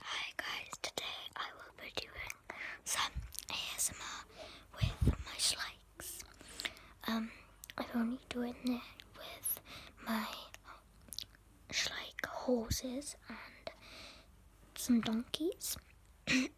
Hi guys, today I will be doing some ASMR with my slikes. Um, I'm only doing it with my slike horses and some donkeys. because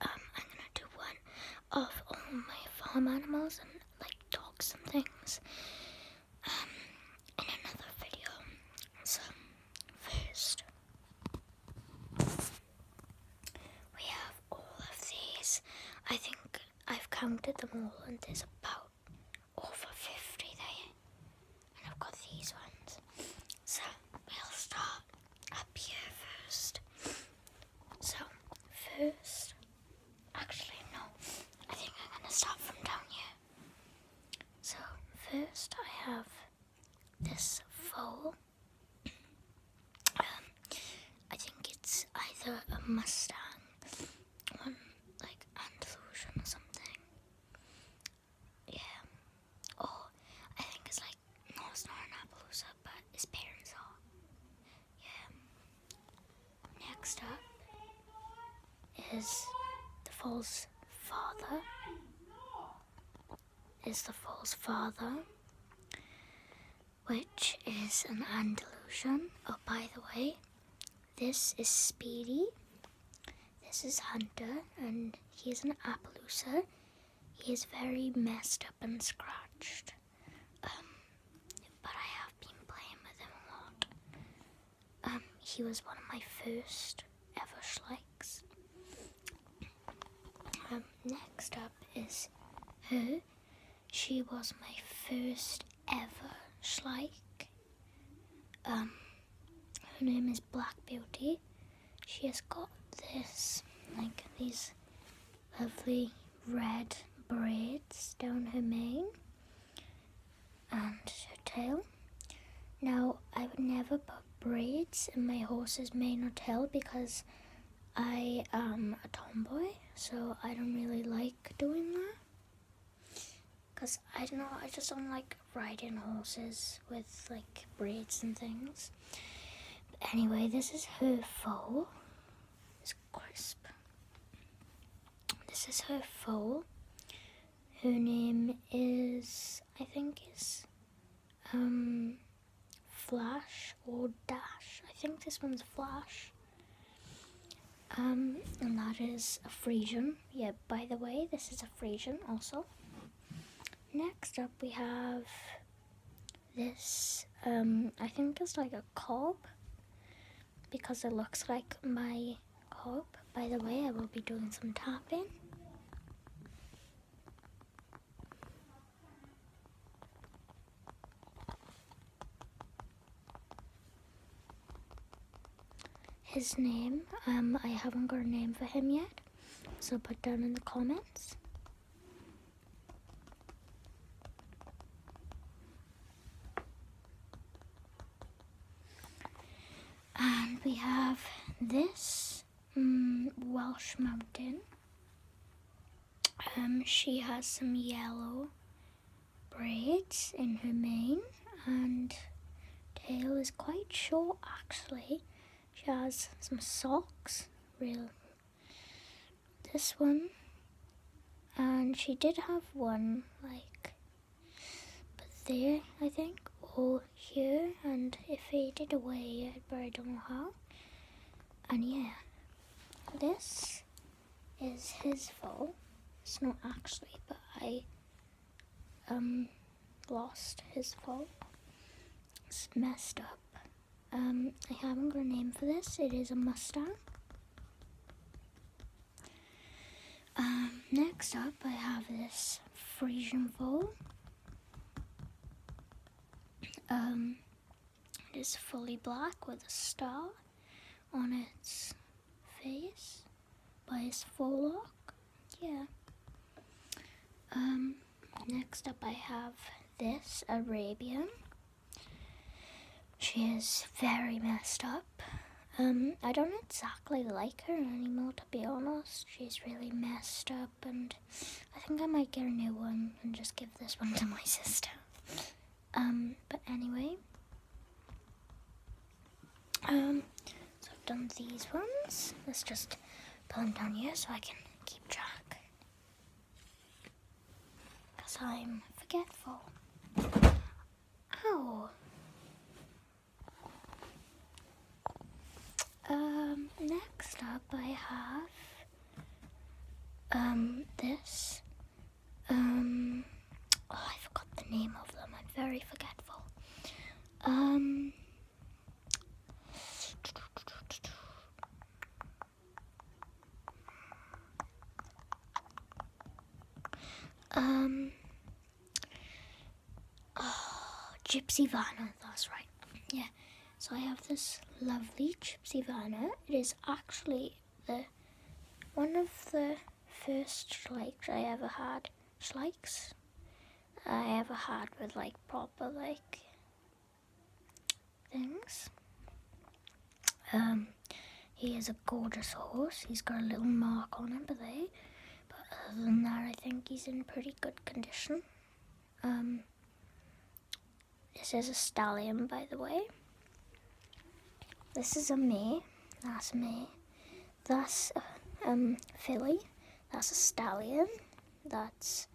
um, I'm gonna do one of all my farm animals and like dogs and things um, in another video. So, first, we have all of these. I think I've counted them all, and there's about over 50 there. And I've got these ones. So, we'll start up here first. So, first, Actually, no. I think I'm gonna start from down here. So, first I have this foal. Um, I think it's either a Mustang, one um, like Andalusian or something. Yeah. Or I think it's like not an Appaloosa, but his parents are. Yeah. Next up is the foal's father. Is the foal's father, which is an Andalusian. Oh, by the way, this is Speedy. This is Hunter, and he's an Appaloosa. He is very messed up and scratched. Um, but I have been playing with him a lot. Um, he was one of my first ever schlikes. Um, next up is her. She was my first ever schlike. Um, her name is Black Beauty. She has got this, like these lovely red braids down her mane and um, her tail. Now, I would never put braids in my horse's mane or tail because I am a tomboy, so I don't really like doing that. Because I don't know, I just don't like riding horses with like braids and things. But anyway, this is her fall. It's crisp this is her foal. Her name is, I think, is um, Flash or Dash. I think this one's Flash. Um, and that is a Frisian. Yeah, by the way, this is a Frisian also. Next up, we have this. Um, I think it's like a cob because it looks like my orb. By the way, I will be doing some tapping. His name, um, I haven't got a name for him yet, so put down in the comments. And we have this mm, Welsh mountain. Um, she has some yellow braids in her mane and tail is quite short actually. She has some socks, Really this one. And she did have one, like, but there, I think, or here, and it faded away, but I don't know how. And yeah, this is his fault. It's not actually, but I, um, lost his fault. It's messed up. Um, I haven't got a name for this. It is a Mustang. Um, next up, I have this Frisian vole. Um, it is fully black with a star on its face by its forelock. Yeah. Um, next up, I have this Arabian. She is very messed up. Um, I don't exactly like her anymore, to be honest. She's really messed up, and I think I might get a new one and just give this one to my sister. Um, but anyway, um, so I've done these ones. Let's just put them down here so I can keep track. Because I'm forgetful. Ow! Um, next up I have, um, this. Um, oh, I forgot the name of them. I'm very forgetful. Um, um. Oh, Gypsy Vanna. That's right. Yeah. So I have this lovely Gypsy Vanna. It is actually the one of the first schlikes I ever had. Schlikes I ever had with like proper like things. Um, he is a gorgeous horse. He's got a little mark on him, but they. But other than that, I think he's in pretty good condition. Um, this is a stallion, by the way. This is a mare. That's a mare. That's a um, filly. That's a stallion. That's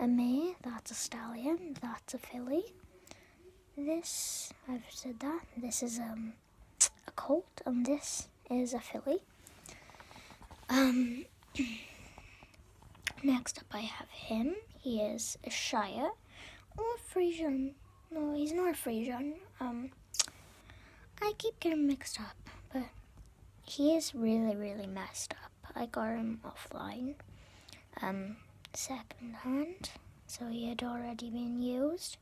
a mare. That's a stallion. That's a filly this I've said that. This is um a colt and this is a filly. Um next up I have him. He is a Shire or a Frisian. No, he's not a Frisian. Um I keep getting mixed up, but he is really, really messed up. I got him offline um, second hand, so he had already been used.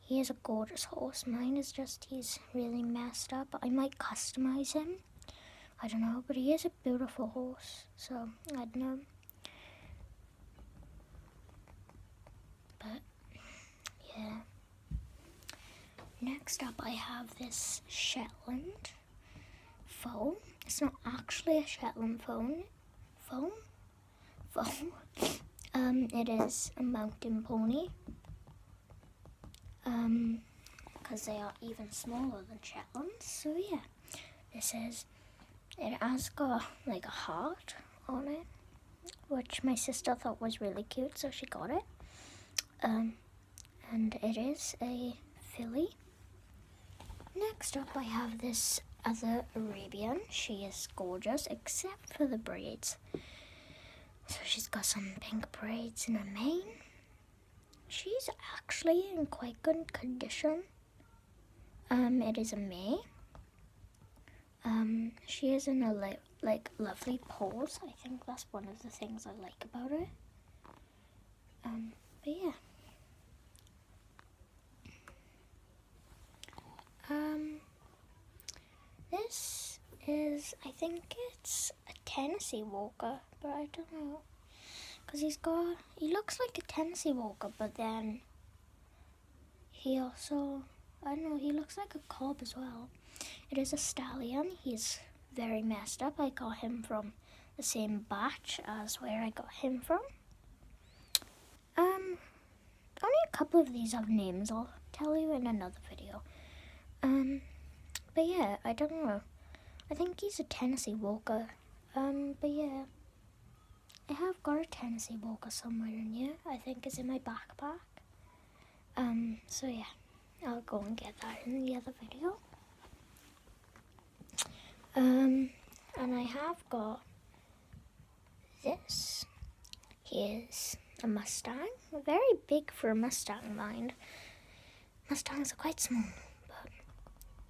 He is a gorgeous horse. Mine is just, he's really messed up. I might customize him. I don't know, but he is a beautiful horse, so I don't know. But, yeah. Next up, I have this Shetland foal. It's not actually a Shetland foal foam, foam. Um, it is a mountain pony. Um, because they are even smaller than Shetlands. So yeah, this is. It has got like a heart on it, which my sister thought was really cute, so she got it. Um, and it is a filly. Next up, I have this other Arabian. She is gorgeous, except for the braids. So she's got some pink braids in her mane. She's actually in quite good condition. Um, it is a May. Um, she is in a like lovely pose. I think that's one of the things I like about her. Um, but yeah. Um, this is, I think it's a Tennessee Walker, but I don't know. Because he's got, he looks like a Tennessee Walker, but then he also, I don't know, he looks like a cob as well. It is a stallion. He's very messed up. I got him from the same batch as where I got him from. Um, only a couple of these have names. I'll tell you in another video. Um, but yeah, I don't know. I think he's a Tennessee Walker. Um, but yeah. I have got a Tennessee Walker somewhere in here. I think it's in my backpack. Um, so yeah, I'll go and get that in the other video. Um, and I have got this. He is a Mustang. Very big for a Mustang, mind. Mustangs are quite small, but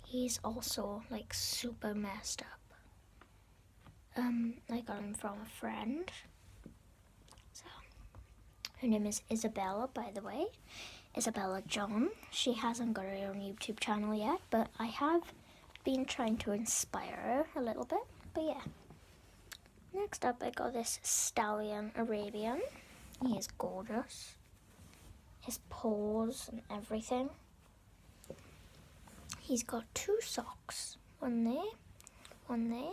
he's also like super messed up. Um, I got him from a friend. So, her name is Isabella, by the way. Isabella John. She hasn't got her own YouTube channel yet, but I have been trying to inspire her a little bit. But yeah. Next up, I got this Stallion Arabian. He is gorgeous. His paws and everything. He's got two socks. One there, one there.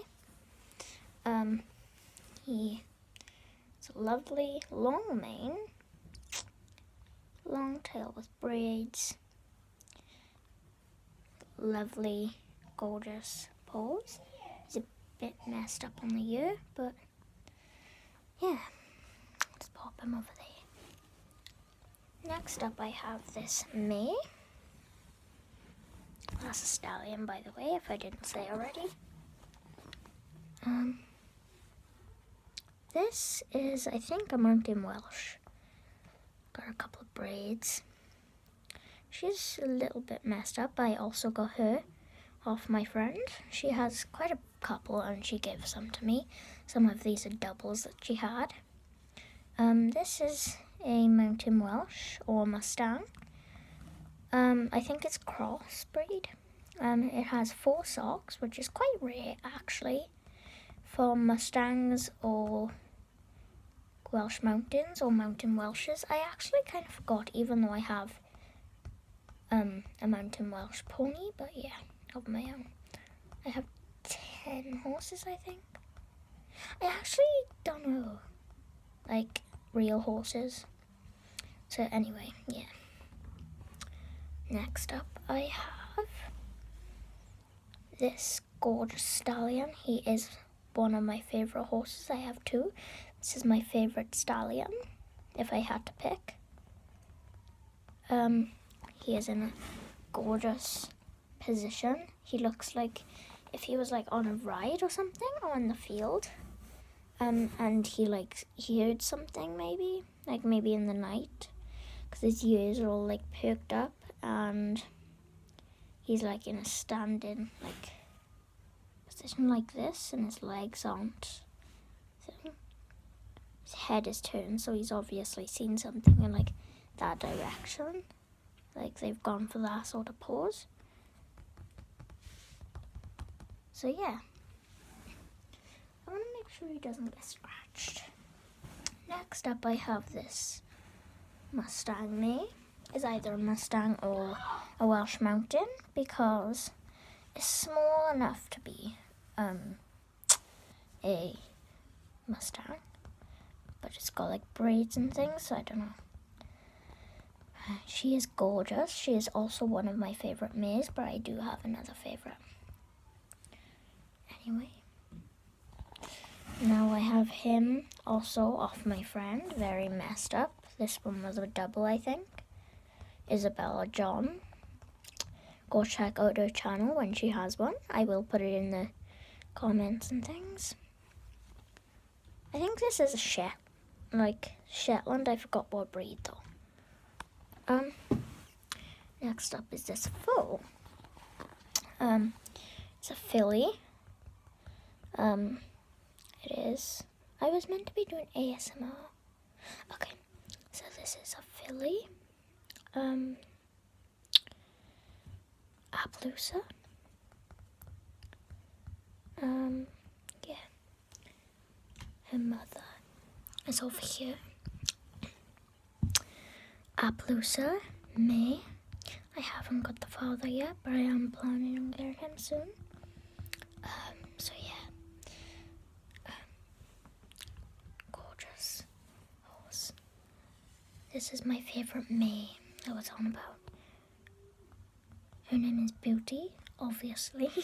Um, he it's a lovely long mane, long tail with braids, lovely gorgeous paws. It's a bit messed up on the ear, but yeah, let's pop him over there. Next up I have this May. That's a stallion, by the way, if I didn't say already. Um, this is, I think, a Mountain Welsh. Got a couple of braids. She's a little bit messed up. I also got her off my friend. She has quite a couple and she gives some to me. Some of these are doubles that she had. Um, this is a Mountain Welsh or Mustang. Um, I think it's crossbreed. Um, it has four socks, which is quite rare actually for Mustangs or Welsh Mountains or Mountain Welshes. I actually kind of forgot, even though I have um, a Mountain Welsh pony, but yeah, of my own. I have 10 horses, I think. I actually don't know, like, real horses. So anyway, yeah. Next up I have this gorgeous stallion. He is one of my favourite horses. I have two. This is my favourite stallion, if I had to pick. Um, he is in a gorgeous position. He looks like if he was like on a ride or something or in the field. Um, and he likes. He heard something maybe, like maybe in the night, because his ears are all like perked up and he's like in a standing like position like this, and his legs aren't. His head is turned, so he's obviously seen something in like that direction. Like they've gone for that sort of pause. So yeah. I want to make sure he doesn't get scratched. Next up, I have this Mustang Me. Is either a Mustang or a Welsh Mountain because it's small enough to be um, a Mustang, but it's got like braids and things, so I don't know. She is gorgeous. She is also one of my favorite Mirs, but I do have another favorite. Anyway. Now I have him also off my friend, very messed up. This one was a double, I think. Isabella John. Go check out her channel when she has one. I will put it in the comments and things. I think this is a ship like Shetland. I forgot what breed though. Um, next up is this foal. Um, it's a filly. Um, it is. I was meant to be doing ASMR. Okay, so this is a filly. Um, Appaloosa. Um, yeah her mother is over here. Appaloosa, me. I haven't got the father yet, but I am planning on getting him soon. Um, so yeah. Um, gorgeous horse. This is my favorite me. I was on about. Her name is Beauty, obviously.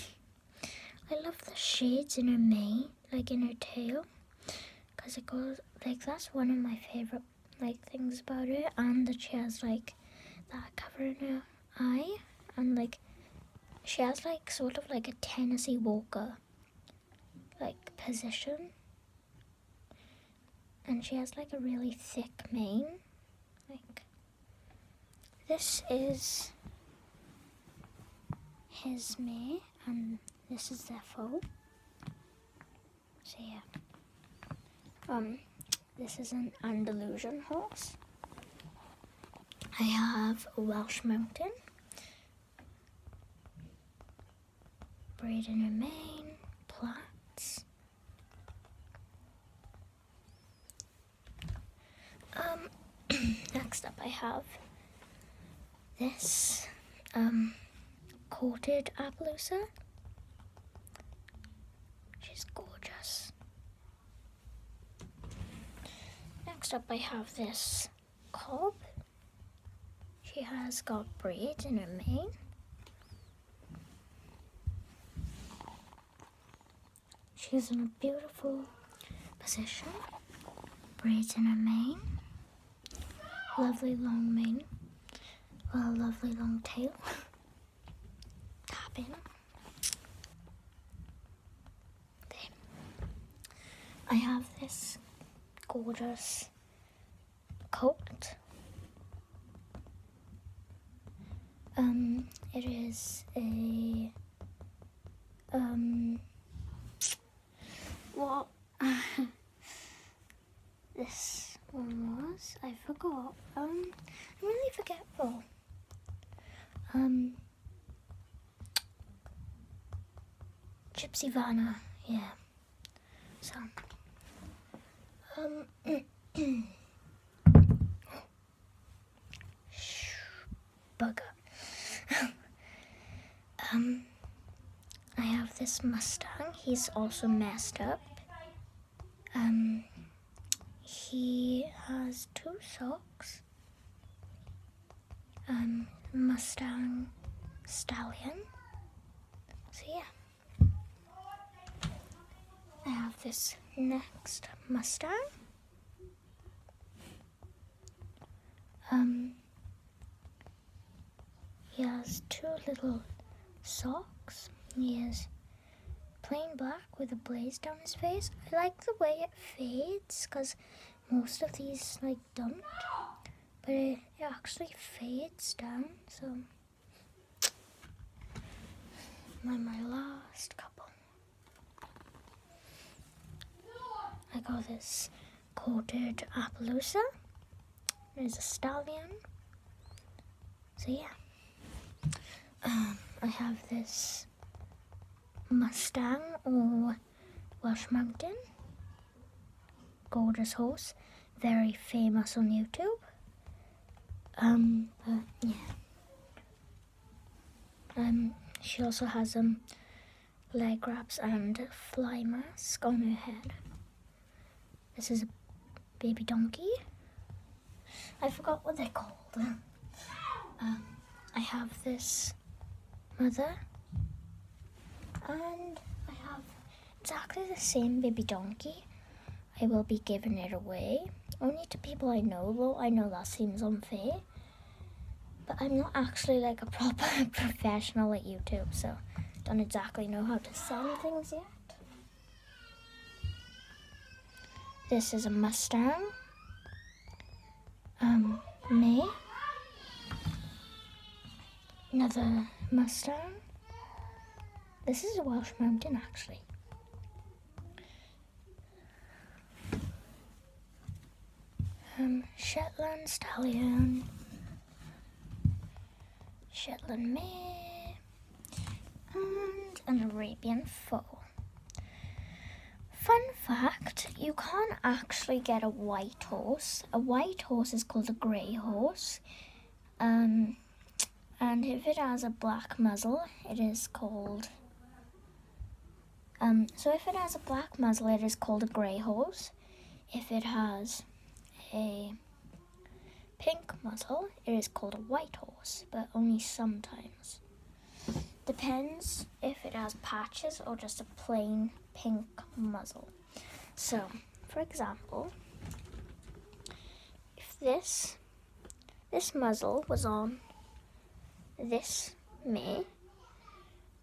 I love the shades in her mane, like in her tail, because it goes, like, that's one of my favorite, like, things about her. And that she has, like, that cover in her eye, and, like, she has, like, sort of like a Tennessee Walker, like, position. And she has, like, a really thick mane, like, this is his mare and um, this is their foal. So yeah. Um this is an Andalusian horse. I have a Welsh Mountain, Breed and Remain, Plots. Um, next up I have this um, coated Appaloosa, which is gorgeous. Next up I have this cob. She has got braids in her mane. She's in a beautiful position, braids in her mane, lovely long mane, with a lovely long tail, tapping. Then I have this gorgeous coat um, it is a um. What this one was? I forgot. Um, I'm really forgetful. Um, Gypsy Vanna. Yeah. So. Um. Oh, bugger. um, I have this Mustang. He's also messed up. Um, he has two socks. Um, Mustang Stallion. So yeah. I have this next Mustang. Um, he has two little socks. He is plain black with a blaze down his face. I like the way it fades because most of these like don't, but it actually fades down. So and my last couple. I got this quartered Appaloosa. There's a stallion. So yeah. Um, I have this Mustang or Welsh Mountain. Gorgeous horse. Very famous on YouTube. Um, yeah. Um, she also has um leg wraps and a fly mask on her head. This is a baby donkey. I forgot what they're called. Um, I have this mother, and I have exactly the same baby donkey, I will be giving it away. Only to people I know, though I know that seems unfair. But I'm not actually like a proper professional at YouTube, so don't exactly know how to send things yet. This is a Mustang. Um, me. Another Mustang. This is a Welsh Mountain, actually. Um, Shetland Stallion, Shetland Mare, and an Arabian Foal. Fun fact, you can't actually get a white horse. A white horse is called a grey horse. Um, and if it has a black muzzle, it is called. Um, so if it has a black muzzle, it is called a grey horse. If it has a pink muzzle, it is called a white horse, but only sometimes. Depends if it has patches or just a plain pink muzzle. So, for example, if this this muzzle was on this May.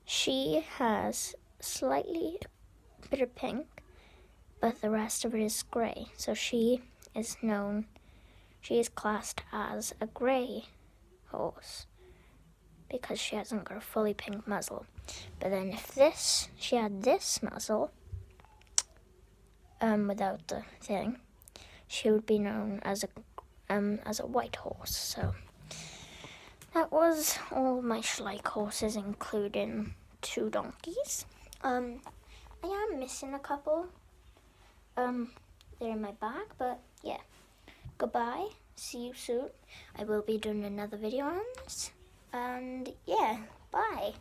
She has slightly bit of pink, but the rest of it is grey. So she is known, she is classed as a grey horse because she hasn't got a fully pink muzzle. But then if this, she had this muzzle, um, without the thing, she would be known as a um, as a white horse. So that was all my Schleich horses, including two donkeys. Um, I am missing a couple. Um, they're in my bag, but yeah. Goodbye. See you soon. I will be doing another video on this. And yeah, bye.